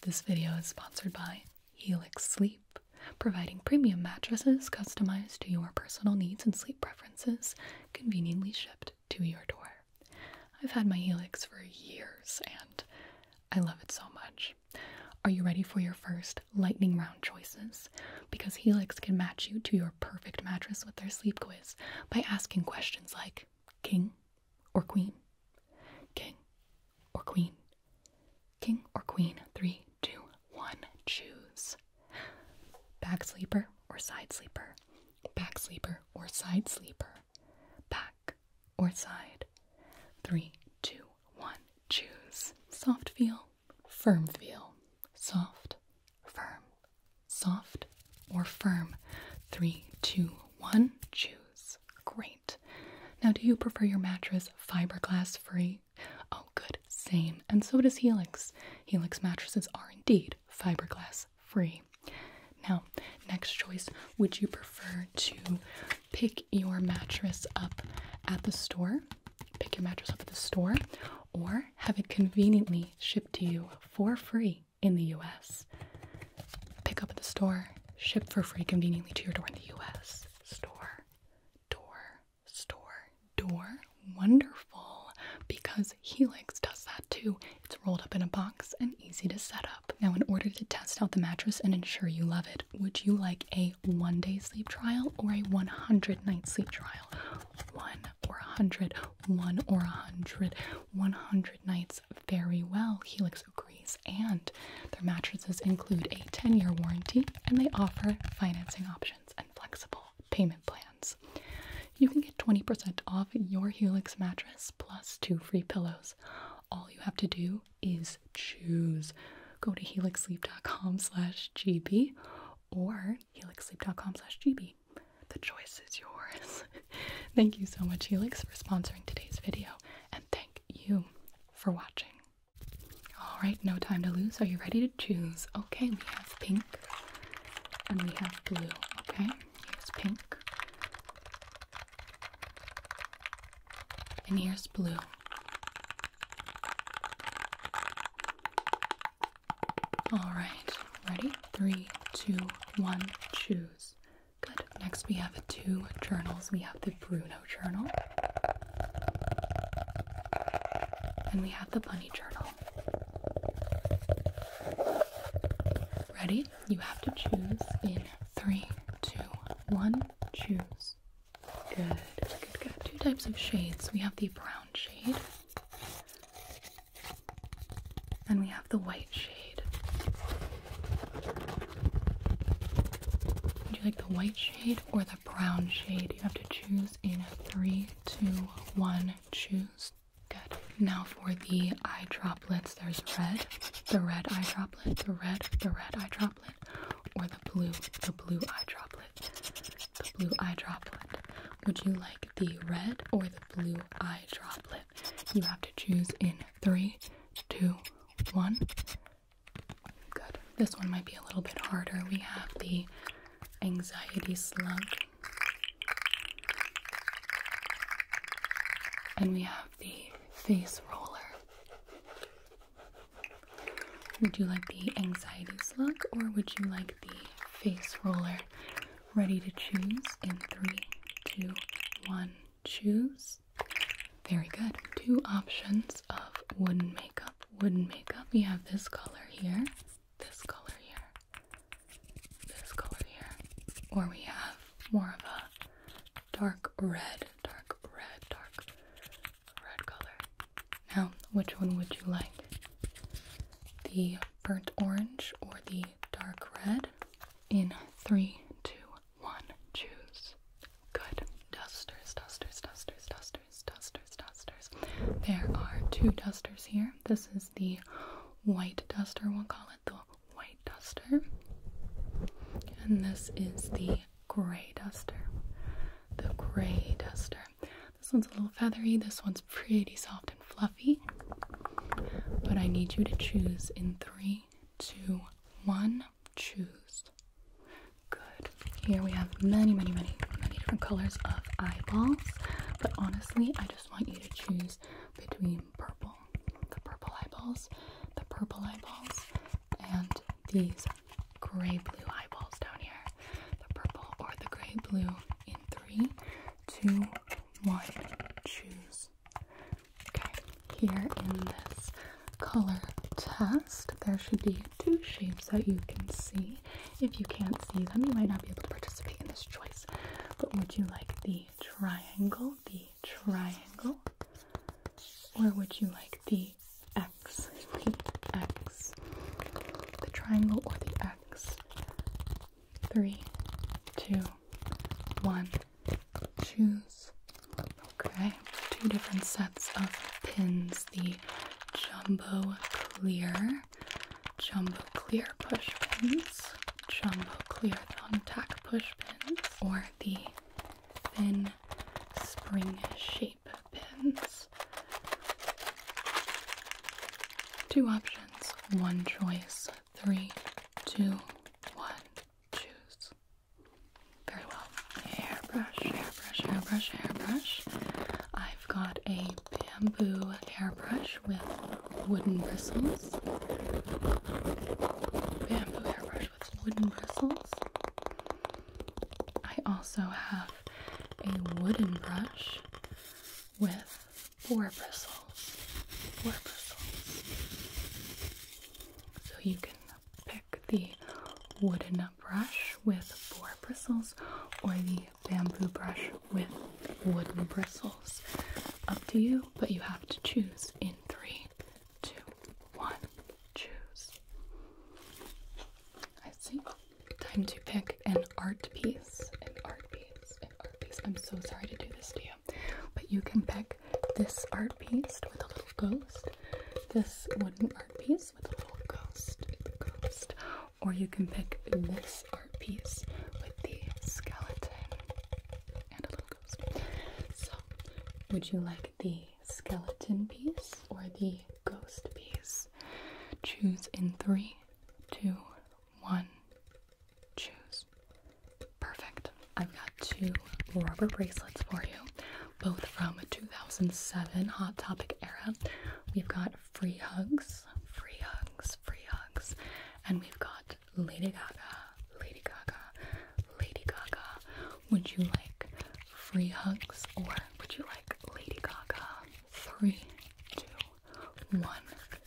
This video is sponsored by Helix Sleep, providing premium mattresses customized to your personal needs and sleep preferences, conveniently shipped to your door. I've had my Helix for years and I love it so much. Are you ready for your first lightning round choices? Because Helix can match you to your perfect mattress with their sleep quiz by asking questions like King, or queen. King or queen. King or queen. Three, two, one. Choose. Back sleeper or side sleeper. Back sleeper or side sleeper. Back or side. Three, two, one. Choose. Soft feel, firm feel. Soft, firm. Soft or firm. Three, two, one. Choose. Great. Now, do you prefer your mattress fiberglass free? Oh, good. Same. And so does Helix. Helix mattresses are indeed fiberglass free. Now, next choice would you prefer to pick your mattress up at the store? Pick your mattress up at the store or have it conveniently shipped to you for free in the US. Pick up at the store, ship for free conveniently to your door in the US. Store, door, store, door. Wonderful because Helix does that too. It's rolled up in a box and easy to set up. Now, in order to test out the mattress and ensure you love it, would you like a one day sleep trial or a 100 night sleep trial? One or 100, one or 100, 100 nights very well, Helix agrees, and their mattresses include a 10 year warranty and they offer financing options and flexible payment plans. You can get 20% off your Helix mattress plus two free pillows. All you have to do is choose. Go to helixsleep.com slash gb or helixsleep.com slash gb. The choice is yours. thank you so much, Helix, for sponsoring today's video, and thank you for watching. Alright, no time to lose. Are you ready to choose? Okay, we have pink and we have blue. Okay, here's pink. And here's blue. Alright, ready? Three, two, one, choose. Good. Next, we have two journals. We have the Bruno journal, and we have the Bunny journal. Ready? You have to choose in three, two, one. Choose. Good, good, good. Two types of shades. We have the brown shade, and we have have the white shade. Would you like the white shade or the brown shade? You have to choose in three, two, one. Choose. Good. Now for the eye droplets, there's red, the red eye droplet, the red, the red eye droplet, or the blue, the blue eye droplet, the blue eye droplet. Would you like the red or the blue eye droplet? You have to choose in three, two, one. Good. This one might be a little bit harder. We have the anxiety slug. And we have the face roller. Would you like the anxiety slug or would you like the face roller? Ready to choose in three, two, one choose. Very good. Two options of wooden makeup. Wooden makeup. We have this color here, this color here, this color here, or we have more of a dark red, dark red, dark red color. Now, which one would you like? The burnt orange or the dark red? in three, two, one. Choose. Good. Dusters, dusters, dusters, dusters, dusters, dusters. There are two dusters here. This is the white duster, we'll call it the white duster. And this is the gray duster. The gray duster. This one's a little feathery, this one's pretty soft fluffy. But I need you to choose in three, two, one. Choose. Good. Here we have many, many, many, many different colors of eyeballs. But honestly, I just want you to choose between purple, the purple eyeballs, the purple eyeballs, and these gray blue eyeballs down here. The purple or the gray blue in three, two, one. Choose. Okay, here in this color test, there should be two shapes that you can see. If you can't see them, you might not be able to participate in this choice. But would you like the triangle, the triangle, or would you like the X, the X, the triangle or the X? Three, two, one choose okay two different sets of pins the jumbo clear jumbo clear push pins jumbo clear thumbtack push pins or the thin spring shape pins two options one choice Three, two, one, choose. Very well. Hairbrush, hairbrush, hairbrush, hairbrush. I've got a bamboo hairbrush with wooden bristles. Bamboo hairbrush with wooden bristles. I also have a wooden brush with Four bristles. Four bristles. So you can pick the wooden brush with four bristles or the bamboo brush with wooden bristles. Up to you, but you have to choose in three, two, one. Choose. I see. Time to pick an art piece. An art piece. An art piece. I'm so sorry to do this to you. But you can pick this art piece with a little ghost, this wooden art piece with a little ghost, or you can pick this art piece with the skeleton and a little ghost. So, would you like the skeleton piece or the ghost piece? Choose in three, two, one, choose. Perfect. I've got two rubber bracelets for you, both from 2007 Hot Topic era. We've got Free Hugs, Free Hugs, Free Hugs, and we've got Lady Gaga, Lady Gaga, Lady Gaga. Would you like Free Hugs or would you like Lady Gaga? Three, two, one,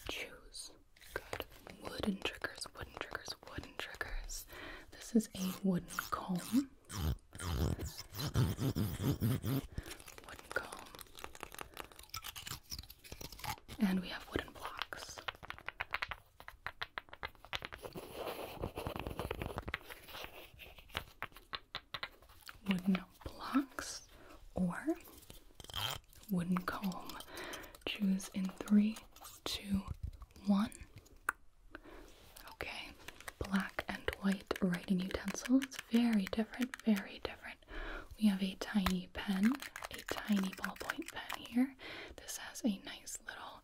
choose. Good. Wooden triggers, wooden triggers, wooden triggers. This is a wooden comb. Wooden comb. And we have wooden blocks. Wooden blocks or wooden comb. Choose in three, two, one. Okay, black and white writing utensils. very different, very different. We have a tiny pen, a tiny ballpoint pen here. This has a nice little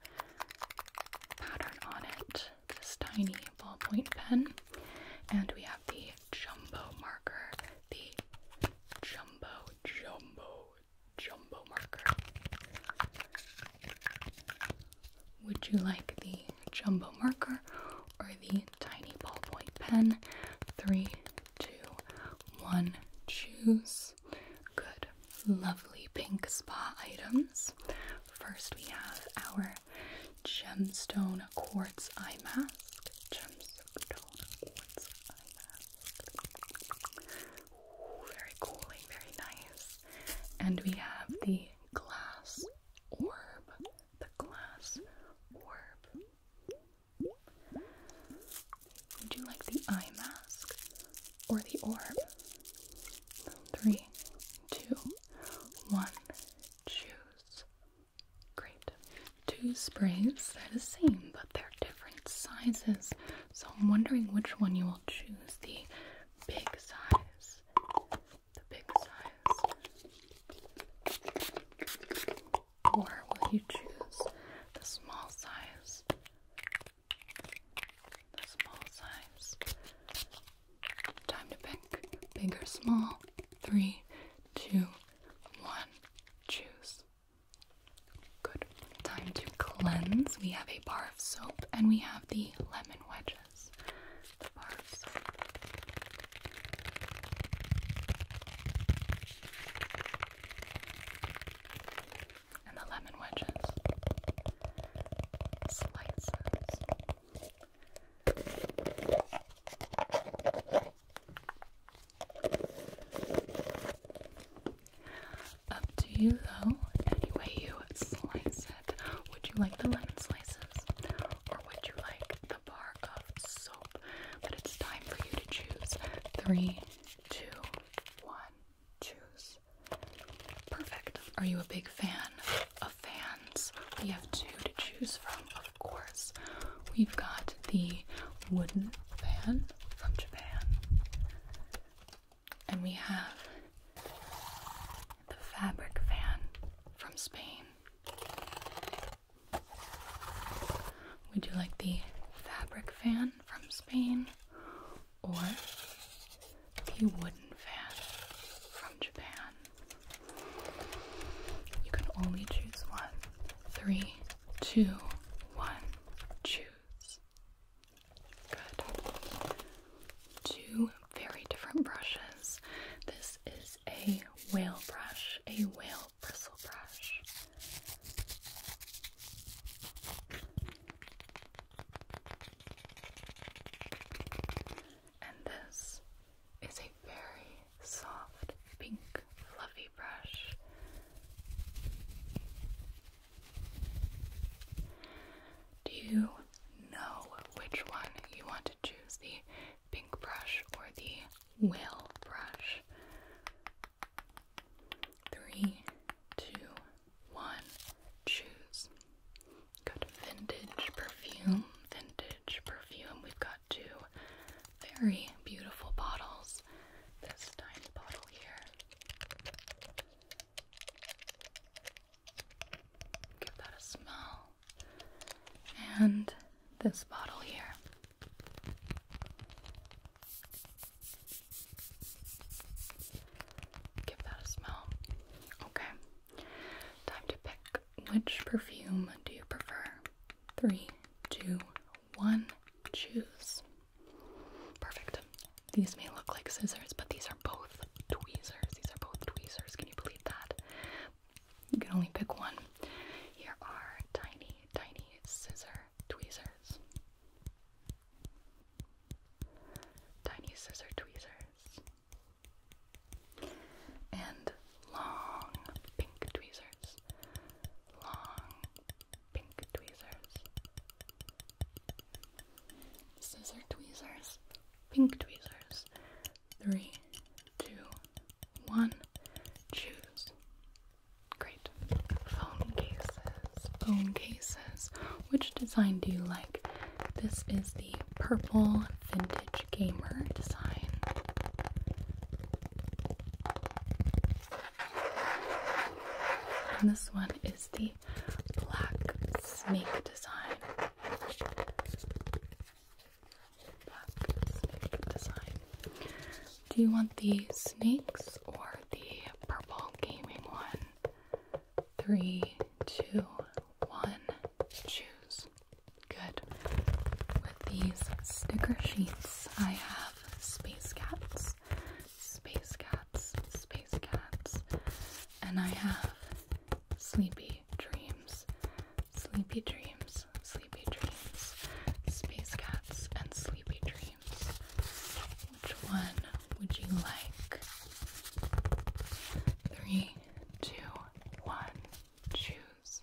pattern on it. This tiny ballpoint pen. And we have the jumbo marker the Jumbo Jumbo Jumbo marker. Would you like the Jumbo marker or the tiny ballpoint pen? Three, two, one, choose. Good. Lovely pink spa items. First, we have our gemstone quartz eye mask. Gems very cooling, very nice. And we have the glass orb. The glass orb. Would you like the eye mask or the orb? Three, two, one, choose. Great. Two sprays they are the same, but they're different sizes. So I'm wondering which one you will choose. The big size. The big size. Or will you choose the small size? The small size. Time to pick. Big or small. Three, two, one. Choose. Good. Time to cleanse. We have a bar of soap and we have the lemon wedges. The bar of soap. And the lemon wedges. Slices. Up to you though, any way you slice it. Would you like the lemon slices? Or would you like the bar of soap? But it's time for you to choose. Three, two, one, choose. Perfect. Are you a big fan of fans? We have two to choose from of course, we've got the wooden fan from Japan. And we have the fabric fan from Spain. Would you like the fabric fan from Spain or the wooden fan from Japan? You can only choose one. Three, two, one, choose. Good. Two very different brushes. This is a whale brush, a whale bristle brush. And this is a very soft pink fluffy brush. Do you know which one you want to choose? The pink brush or the whale brush? Three, two, one, choose. Good vintage perfume, vintage perfume. We've got two very beautiful bottles. This tiny bottle here. Give that a smell. And this bottle here. Give that a smell. Okay. Time to pick which perfume do you prefer? three, two, one. Choose. Perfect. These may look like scissors, but these are both tweezers. These are both tweezers. Can you believe that? You can only pick one. Here are tiny, tiny scissor tweezers. Tiny scissor tweezers and long pink tweezers. Long pink tweezers. Scissor tweezers. Pink tweezers. Three, two, one. Choose. Great. Phone cases. Phone cases. Which design do you like? This is the purple vintage gamer design. And this one is the black snake design. Black snake design. Do you want the snakes or the purple gaming one? Three, two, one, choose. Good. With these sticker sheets, I have Space Cats, Space Cats, Space Cats, and I have Sleepy Dreams, Sleepy Dreams, Sleepy Dreams, Space Cats, and Sleepy Dreams. Which one would you like? Three, two, one. Choose.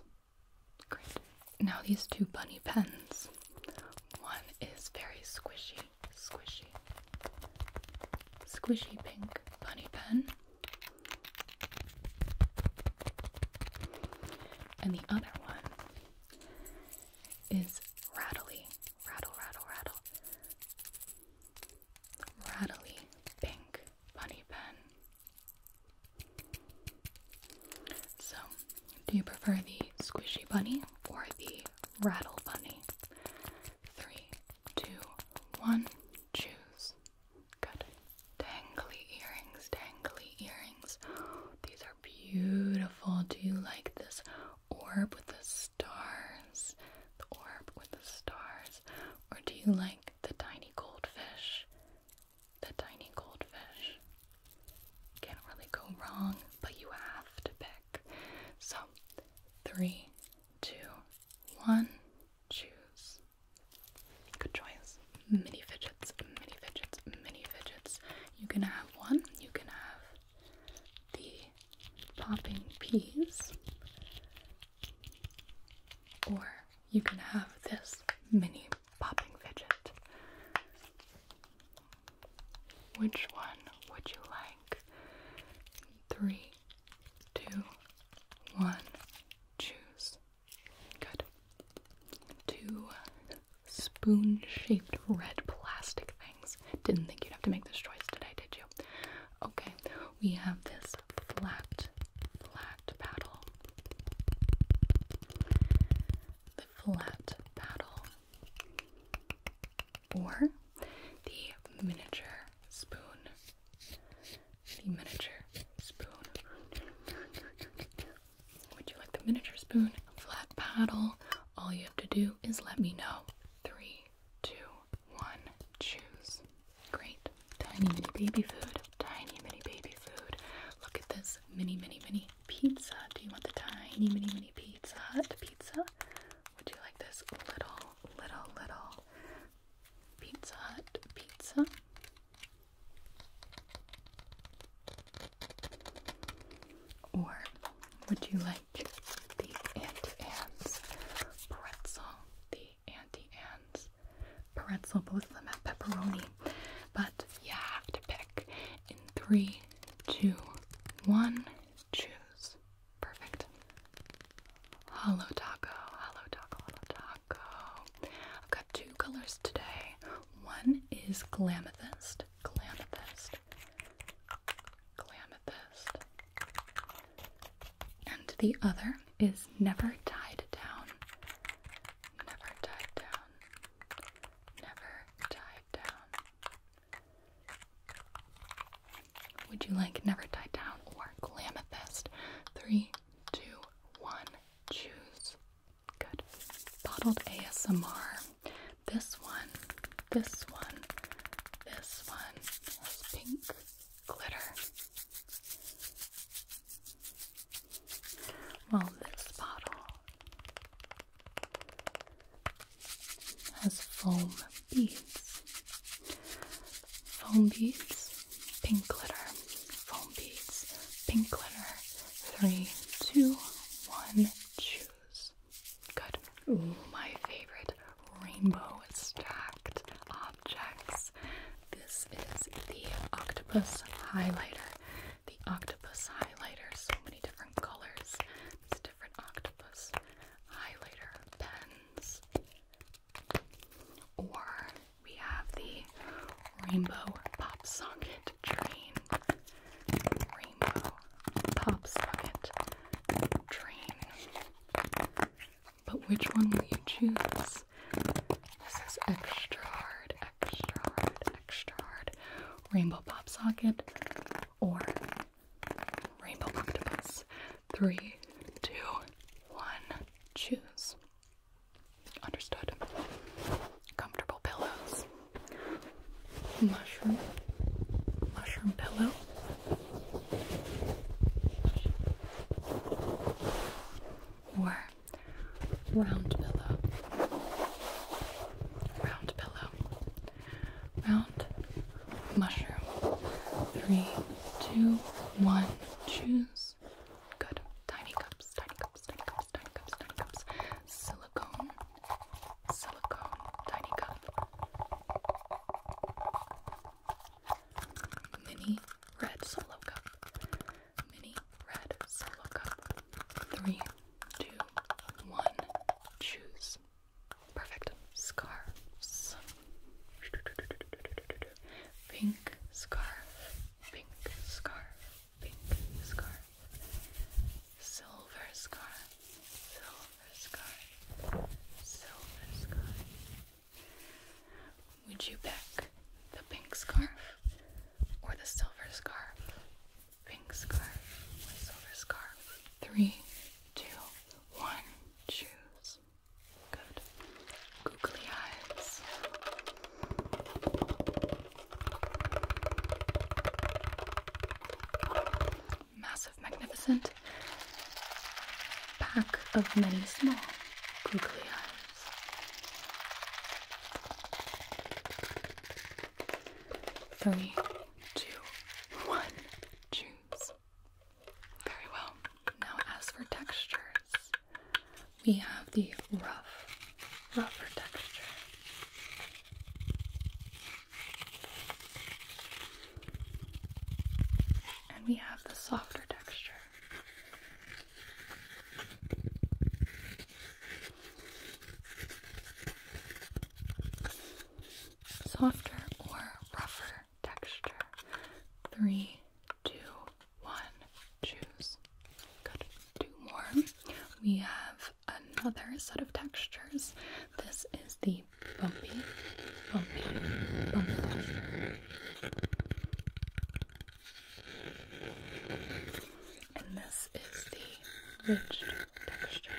Now these two bunny pens. One is very squishy, squishy, squishy pink bunny pen. And the other one is rattly, rattle, rattle, rattle, rattly pink bunny pen. So, do you prefer the squishy bunny or the rattle bunny? Three, two, one, choose. Good. Dangly earrings, Tangly earrings. These are beautiful. Do you like this orb with the stars? The orb with the stars. Or do you like the tiny goldfish. The tiny goldfish. Can't really go wrong, but you have to pick. So, three, two, one, choose. Good choice. Mini fidgets, mini fidgets, mini fidgets. You can have one, you can have the popping peas, or you can have this mini popping fidget. Which one would you like? Three, two, one, choose. Good. Two spoon shaped red plastic things. Didn't think you'd have to make this choice today, did you? Okay, we have this flat flat paddle. The flat paddle. Or the miniature spoon. The miniature spoon. Would you like the miniature spoon? Flat paddle. All you have to do is let me know. Three, two, one, choose. Great. Tiny mini baby food. Tiny mini baby food. Look at this mini mini mini pizza. Do you want the tiny mini mini pizza? The pizza? Would you like this little little little pizza hut pizza? Or would you like the Auntie Anne's pretzel? Auntie Anne's pretzel. Both of them have pepperoni. But you have to pick in three, two, one. Choose. Perfect. Hollow taco, hello taco, hello taco. I've got two colors today. One is Glamethyst, Glamethyst, Glamethyst, and the other is never tied down. Never tied down. Never tied down. Would you like never tied down or glamatist? Three, two, one, choose. Good. Bottled ASMR. This one, this one, this one has pink glitter well, this bottle has foam beads. Foam beads, pink glitter, foam beads, pink glitter. Three, two, one, choose. Good. Ooh, my favorite rainbow stacked objects. This is the octopus highlighter. The octopus highlighter, so many different colors. These different octopus highlighter pens. Or we have the rainbow pop socket train. Rainbow pop socket train. But which one will you choose? This is extra hard, extra hard, extra hard. Rainbow Pop Socket or Rainbow Octopus. Three, two, one, choose. Understood. Comfortable pillows. Mushroom. Mushroom pillow or round pillow. Round pillow. Round mushroom. Three, two, one, choose. Good. Tiny cups, tiny cups, tiny cups, tiny cups, tiny cups. Silicone. Silicone. Tiny cup mini red solo cup, mini red solo cup. Three, two, one, choose. Perfect. Scarves. Pink scarf, pink scarf, pink scarf. Silver scarf, silver scarf, silver scarf. Would you pick the pink scarf or the silver scarf? Pink scarf silver scarf? Three, two, one, choose. Good. Googly eyes magnificent pack of many small googly eyes. Three, two, one, choose. Very well. Now, as for textures, we have the rough, rougher texture and we have the softer texture. Softer or rougher texture. Three, two, one, choose. Good. Two more. We have another set of textures. This is the bumpy, bumpy, bumpy, And this is the ridged texture.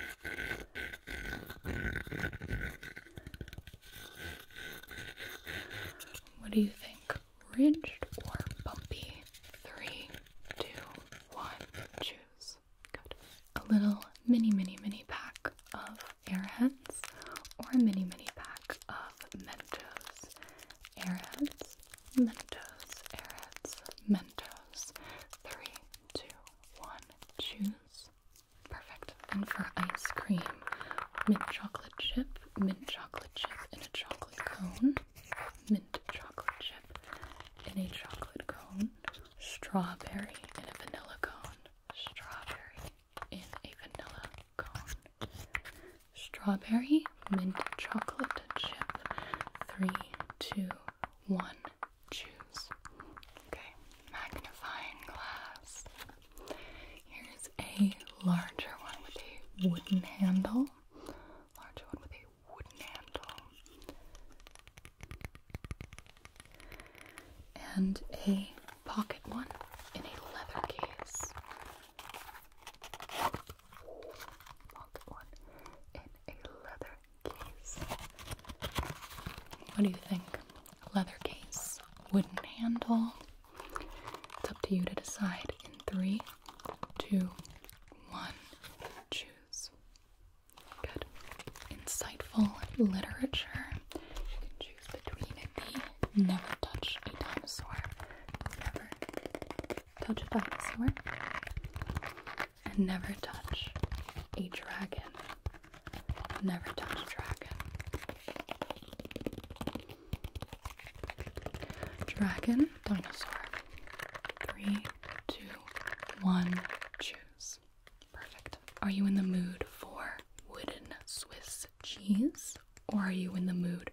What do you think? Ridged or bumpy? Three, two, one, choose. Good. A little mini, mini, mini pack of airheads or a mini mini pack of Mentos. Airheads, Mentos, airheads, Mentos. Three, two, one, choose. Perfect. And for ice cream, mint chocolate chip, mint chocolate chip in a chocolate cone, mint chocolate chip in a chocolate cone, strawberry in a vanilla cone, strawberry in a vanilla Strawberry mint chocolate chip. Three, two, one. Choose. Okay, magnifying glass. Here's a larger one with a wooden handle. Larger one with a wooden handle and a pocket one in a leather case. What do you think? Leather case, wooden handle. It's up to you to decide in three, two, one. Choose. Good. Insightful literature. You can choose between the Never Touch a Dinosaur, Never Touch a Dinosaur, and Never Touch a Dragon, Never Touch a Dragon. Dragon, Dinosaur. Three, two, one, choose. Perfect. Are you in the mood for wooden Swiss cheese or are you in the mood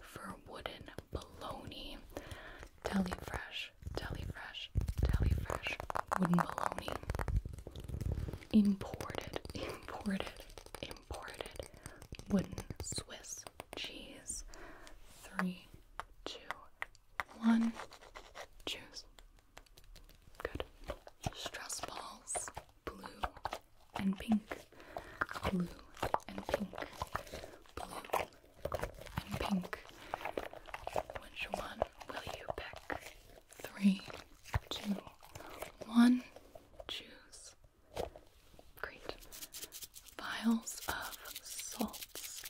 for wooden bologna? Deli-fresh, deli-fresh, deli-fresh, wooden bologna. Imported, imported, imported wooden Swiss cheese. Three, two, one. Choose. Good. Stress balls, blue and pink, blue and pink, blue and pink. Which one will you pick? Three, two, one. Choose. Great. Vials of salts.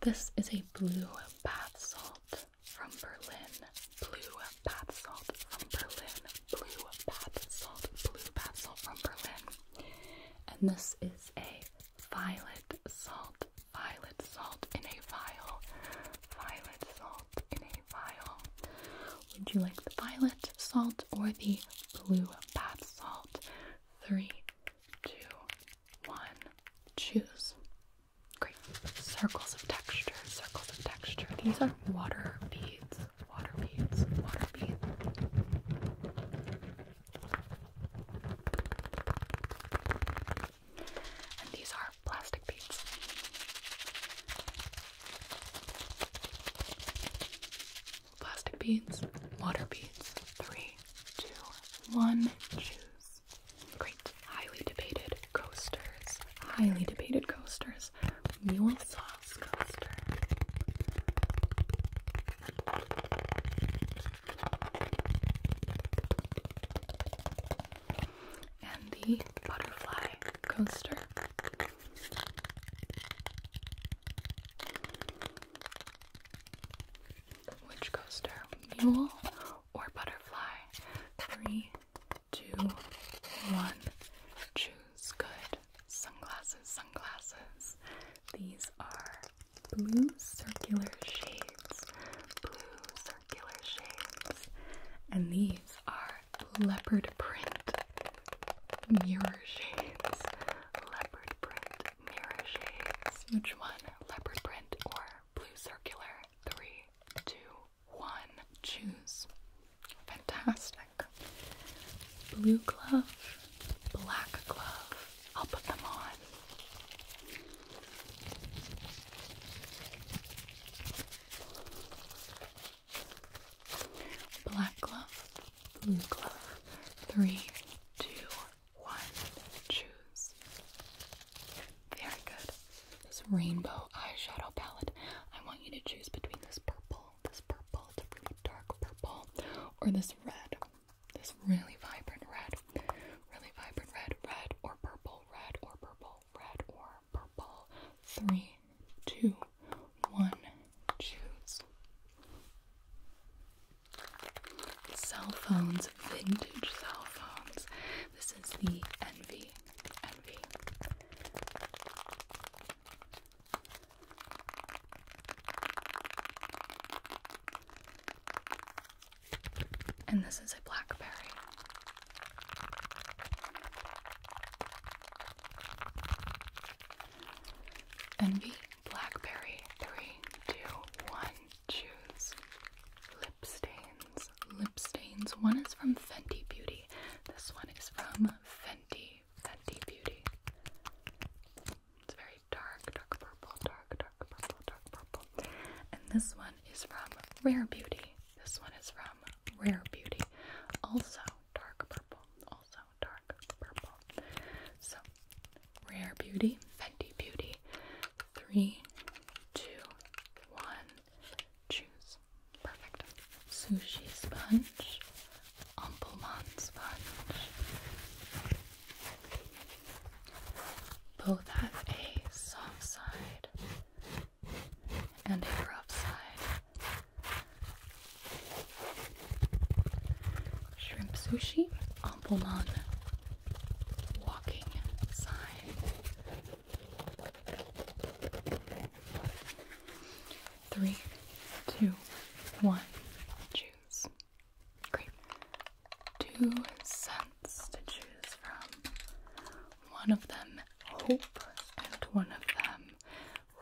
This is a blue bath salt from Berlin, blue bath salt from Berlin, blue bath salt, blue bath salt from Berlin. And this is a violet salt, violet salt in a vial, violet salt in a vial. Would you like the violet salt or the blue bath salt? Three, two, one, choose. Great. Circles of texture, circles of texture. These are water beads, water beads, water beads. And these are plastic beads. Plastic beads, water beads. Three, two, one. Choose Great. Highly debated coasters. Highly debated coasters. Mule sauce coaster. And the butterfly coaster. Which coaster? Mule or butterfly? Three, two, one. Choose good sunglasses, sunglasses. These are blue circular shades, blue circular shades, and these are leopard print mirror shades, leopard print mirror shades. Which one, leopard print or blue circular? three, two, one. Choose. Fantastic. Blue glove, black glove. I'll put them on. Black glove, blue glove. Three, two, one choose. Very good. This rainbow eyeshadow palette. I want you to choose between this purple, this purple, it's a really dark purple, or this red. This really vibrant red. Really vibrant red, red or purple, red or purple, red or purple. Three, two, one, choose. Cell phones, vintage cell phones. This is the Envy. Envy. And this is a blackberry. Envy, blackberry, three, two, one choose lip stains. Lip stains. One is from Fenty Beauty. This one is from Fenty. Fenty Beauty. It's very dark, dark purple, dark, dark purple, dark purple. And this one is from Rare Beauty. This one is from Rare Beauty. Also dark purple. Also dark purple. So Rare Beauty, Fenty Beauty, three, two, one. Choose. Perfect. Sushi sponge, Amplemon sponge. Both have a soft side and a rough side. Shrimp sushi, Pompomon walking sign. Three, two, one, choose. Great. Two scents to choose from. One of them hope and one of them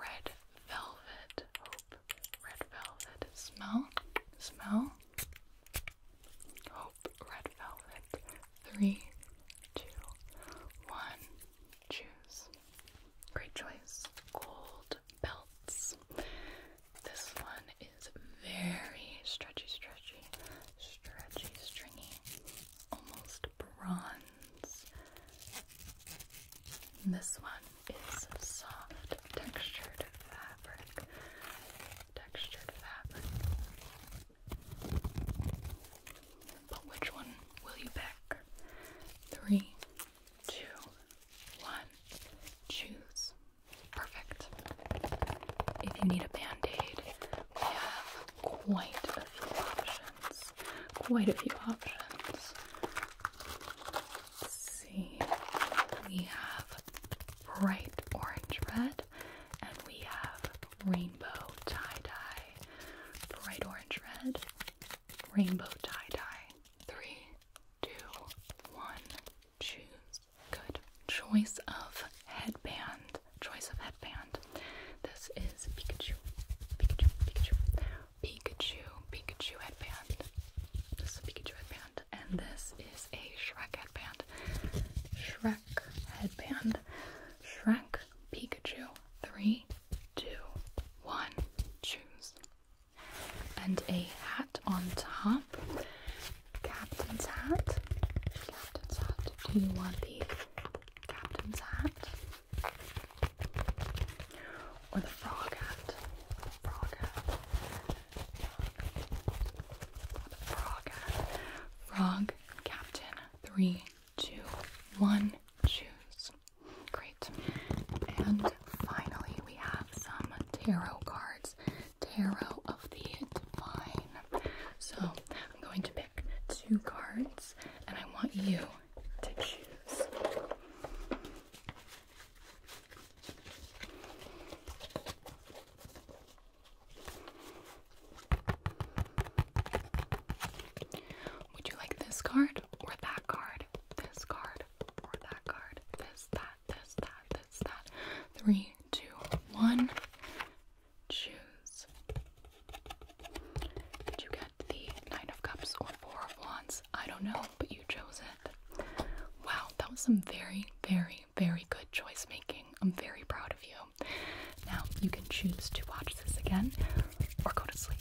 red velvet. Hope, red velvet. Smell, smell. Hope Red Velvet. Three, two, one. Choose. Great choice. Gold belts. This one is very stretchy, stretchy, stretchy, stringy, almost bronze. This one is soft textured fabric, textured fabric. But which one will you pick? Three, two, one. Choose. Perfect. If you need a band aid, we have quite a few options. Quite a few options. see. We have bright orange red, and we have rainbow tie dye. Bright orange red, rainbow tie dye. Three, two, one. Choose. Good. Choice of headband. Choice of headband. This is Pikachu. Pikachu, Pikachu. Pikachu, Pikachu headband. This is Pikachu headband and this is a Shrek headband. Shrek headband. Shrek Pikachu. Three, two, one. Choose. And a hat on top. Captain's hat. Captain's hat. Do you want the captain's hat? Or the frog hat. Frog hat. Frog. Captain. Three, two, one. Choose. Great. And finally, we have some tarot cards. Tarot of the Divine. So I'm going to pick two cards and I want you to choose. Would you like this card or that card? This card or that card? This, that, this, that, this, that. Three, two, one. Choose. Did you get the Nine of Cups or Four of Wands? I don't know, but you chose it. Wow, that was some very, very very, good choice making. I'm very proud of you. Now, you can choose to watch this again or go to sleep.